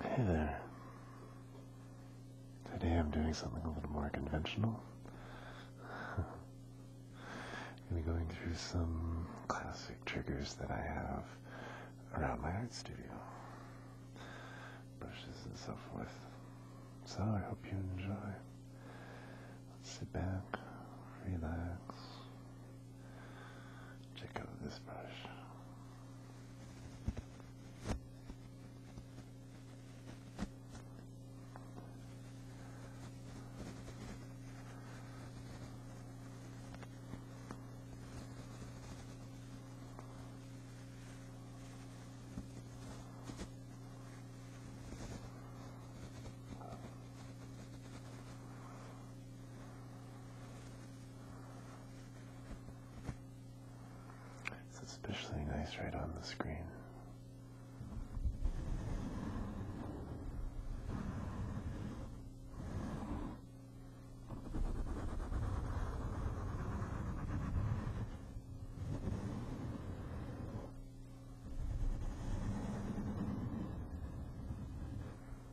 Hey there. Today I'm doing something a little more conventional. I'm going to be going through some classic triggers that I have around my art studio. Brushes and so forth. So I hope you enjoy. Let's sit back, relax, Check out this brush. It's especially nice right on the screen.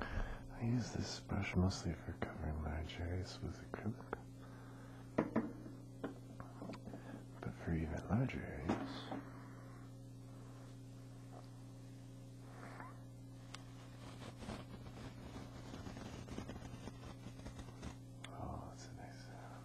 I use this brush mostly for covering large areas with acrylic, but for even larger areas, Oh, that's a nice sound.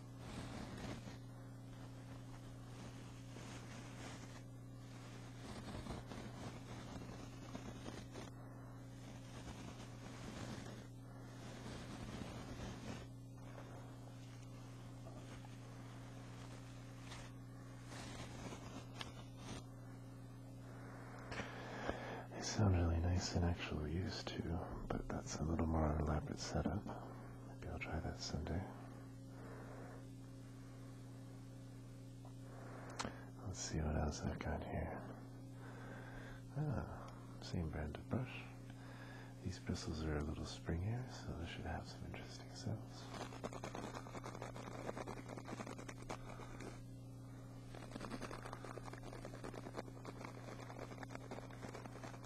They sound really nice in actual used to but that's a little more elaborate setup. Maybe I'll try that someday. Let's see what else I've got here. Ah, same brand of brush. These bristles are a little springier, so they should have some interesting cells.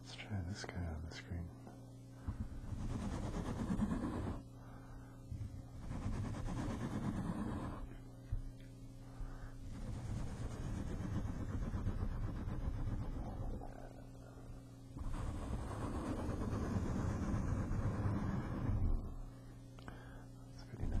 Let's try this guy on the screen. That's pretty nice.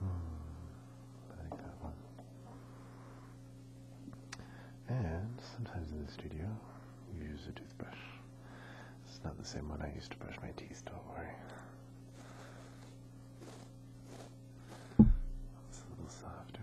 Hmm, I like that one. And sometimes in the studio, you use a toothbrush. It's not the same one I used to brush my teeth, don't worry. It's a little softer.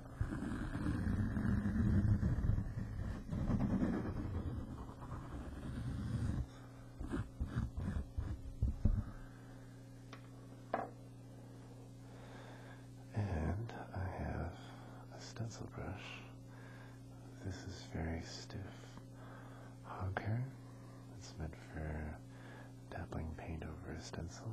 And I have a stencil brush. This is very stiff hog hair. It's meant for dabbling paint over a stencil.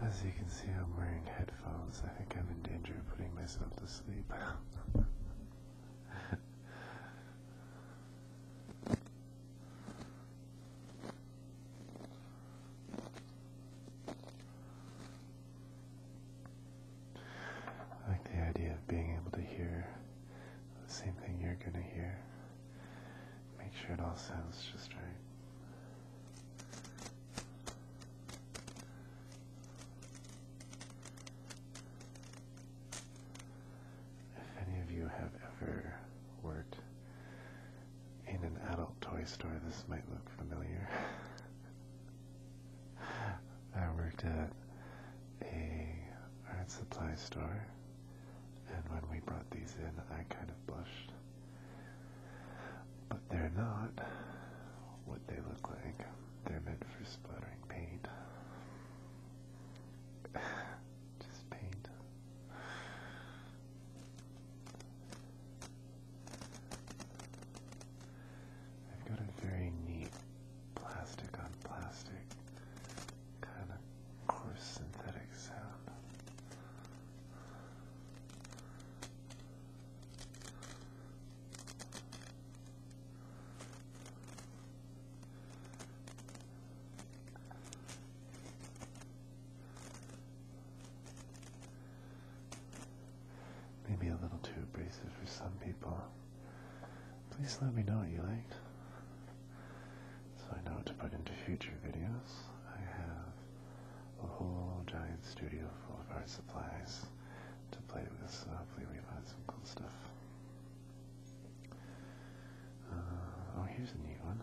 As you can see, I'm wearing headphones. I think I'm in danger of putting myself to sleep. I like the idea of being able to hear the same thing you're going to hear. Make sure it all sounds just right. If any of you have ever worked in an adult toy store, this might look familiar. I worked at a art supply store, and when we brought these in, I kind of blushed. But they're not what they look like. They're meant for splattering paint. Just paint. I've got a very neat plastic on plastic kind of coarse synthetic sound maybe a little too abrasive for some people. Please let me know what you liked. So I know what to put into future videos. I have a whole giant studio full of art supplies to play with, so hopefully we find some cool stuff. Uh, oh, here's a new one.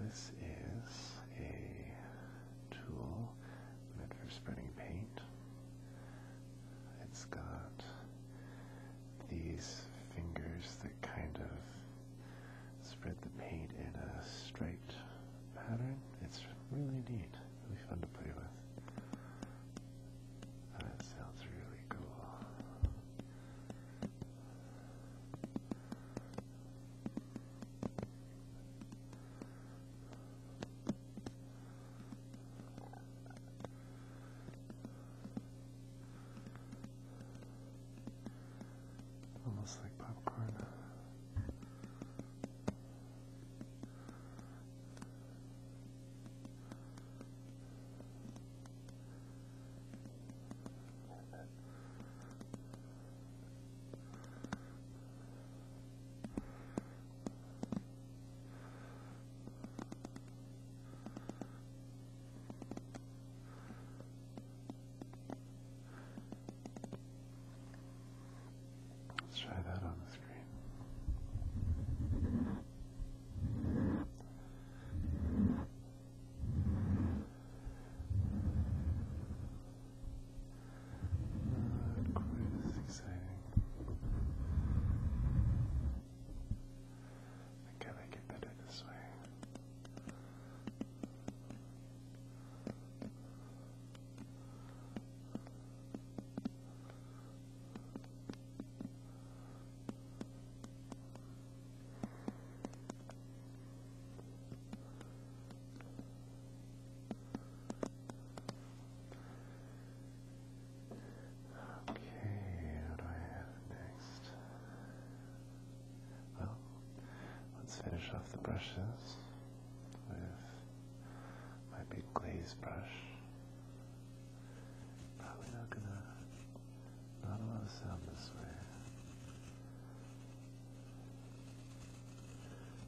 This is a tool meant for spreading paint. It's got these fingers that kind of spread the paint in a striped pattern. It's really neat, really fun to play with. That sounds really cool. Almost like popcorn. Let's try that on the screen. Right, quite exciting. I gotta get better this way. Okay, what do I have next? Well, let's finish off the brushes with my big glaze brush. Probably not gonna, not a lot sound this way.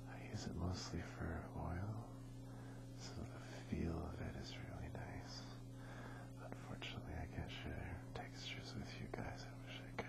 I use it mostly for oil, so the feel of it is really nice. Unfortunately, I can't share textures with you guys. I wish I could.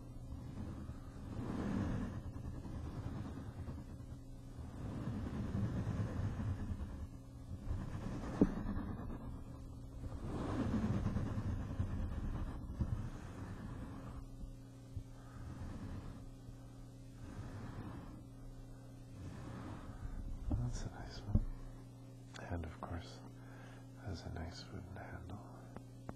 That's a nice one. And of course, has a nice wooden handle.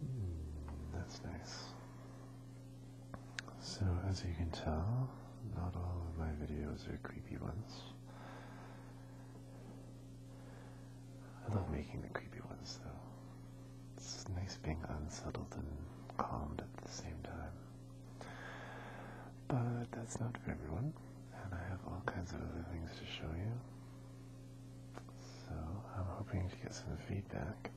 Hmm, that's nice. So, as you can tell, not all of my videos are creepy ones. I love making the creepy ones, though. It's nice being unsettled and calmed at the same time. But that's not for everyone and I have all kinds of other things to show you. So I'm hoping to get some feedback.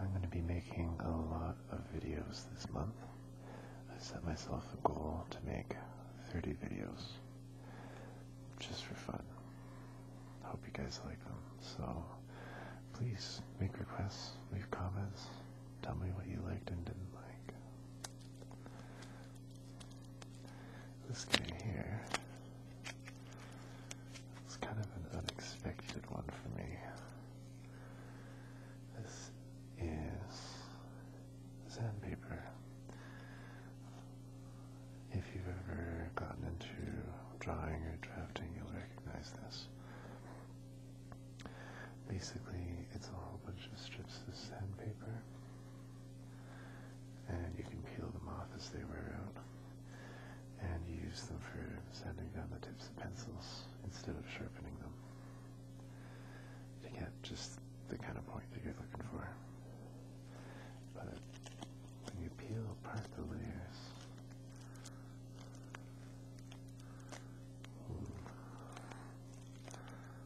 I'm going to be making a lot of videos this month. I set myself a goal to make 30 videos just for fun. Hope you guys like them. So please make requests, leave comments, tell me what you liked and didn't like. This guy here is kind of an unexpected one for me. This is sandpaper. If you've ever gotten into drawing or drafting, you'll recognize this. Basically, it's a whole bunch of strips of sandpaper and you can peel them off as they wear out and use them for sanding down the tips of pencils instead of sharpening them to get just the kind of point that you're looking for. But when you peel apart the layers, hmm,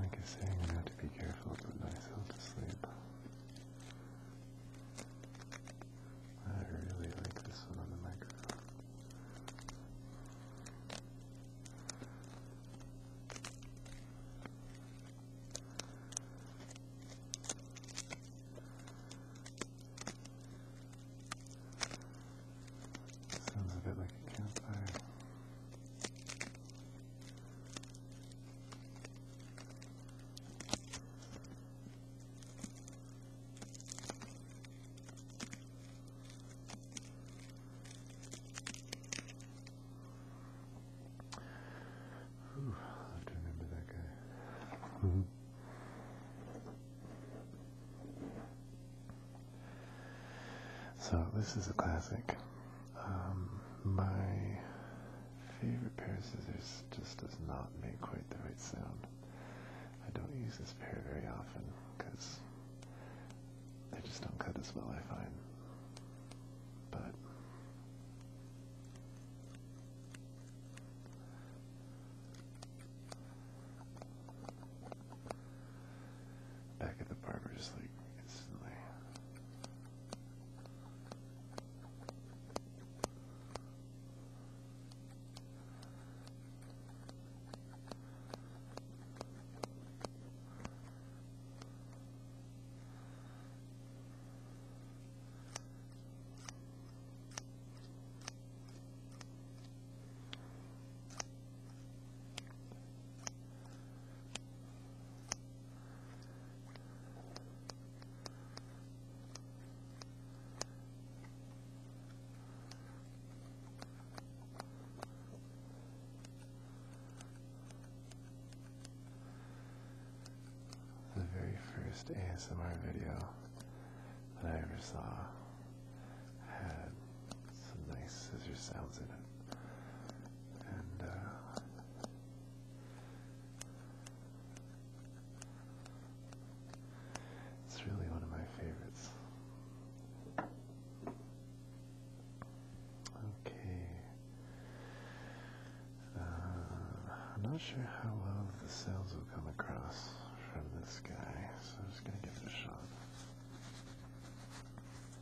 Like I say, I have to be careful to put myself to sleep. I really like this one on the microphone. Sounds a bit like a campfire. Ooh, I have to remember that guy. -hmm. So this is a classic. Um, my favorite pair of scissors just does not make quite the right sound. I don't use this pair very often because they just don't cut as well, I find. But back at the barber just like instantly. The very first ASMR video that I ever saw had some nice scissor sounds in it. And uh, it's really one of my favorites. Okay. Uh, I'm not sure how well the sounds will come across from this guy, so I'm just going to give it a shot.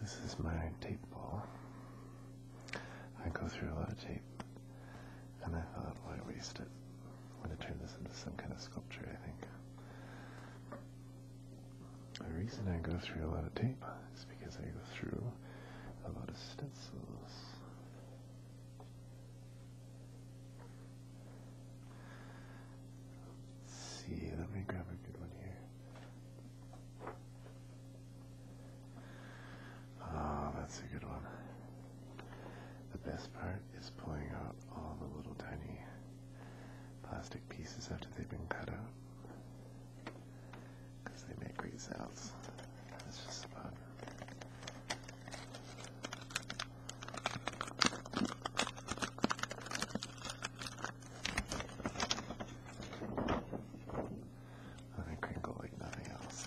This is my tape ball. I go through a lot of tape, and I thought, why waste it? I'm going to turn this into some kind of sculpture, I think. The reason I go through a lot of tape is because I go through a lot of stencils let see, let me grab a good one here. Oh, that's a good one. The best part is pulling out all the little tiny plastic pieces after they've been cut out. Because they make great sounds. That's just about let it crinkle like nothing else.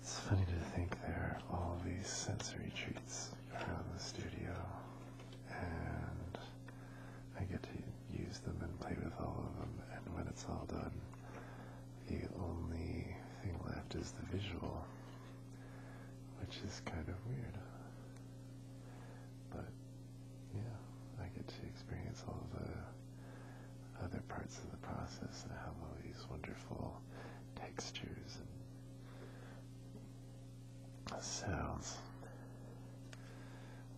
It's funny to think there are all these sensory treats around the studio and I get to use them and play with all of them. And when it's all done, the only thing left is the visual, which is kind of weird. But yeah, I get to experience all the other parts of the process and have all these wonderful textures and sounds.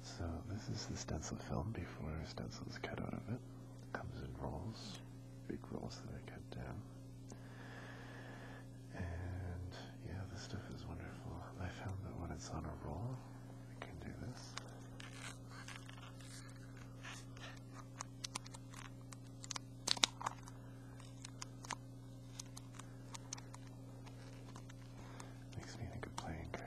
So this is the stencil film before stencil is cut out of it. Comes in rolls, big rolls that I cut down. And yeah, this stuff is wonderful. I found that when it's on a roll, I can do this. Makes me think of playing cards.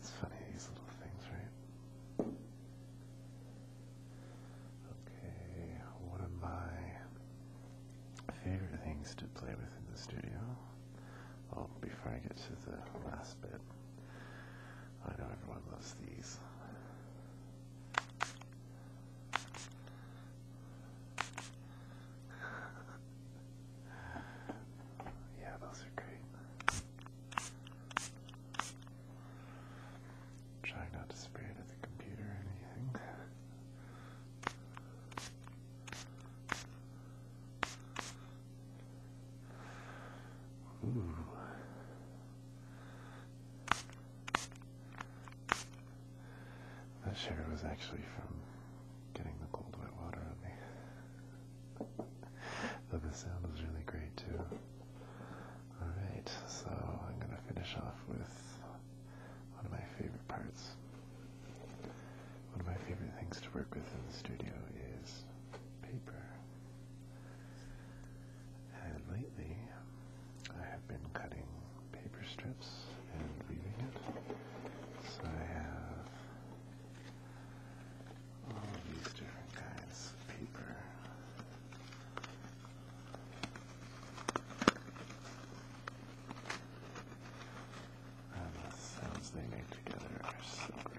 It's funny, these little things, right? Okay, one of my favorite things to play with in the studio. Oh, before I get to the last bit, I know everyone loves these yeah, those are great. Trying not to spray it at the computer or anything. Ooh. That sugar was actually from getting the cold wet water on me. but the sound was really great too. Alright, so I'm gonna finish off with one of my favorite parts. One of my favorite things to work with in the studio is paper. And lately, I have been cutting paper strips and leaving it. So I have all of these different kinds of paper. And uh, the sounds they make together are so great.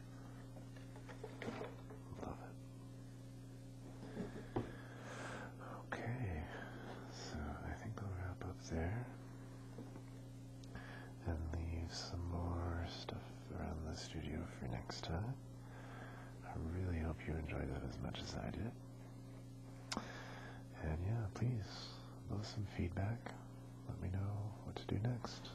Love it. Okay, so I think we'll wrap up there and leave some more stuff around the studio for next time. I really hope you enjoyed that as much as I did. And yeah, please leave some feedback. Let me know what to do next.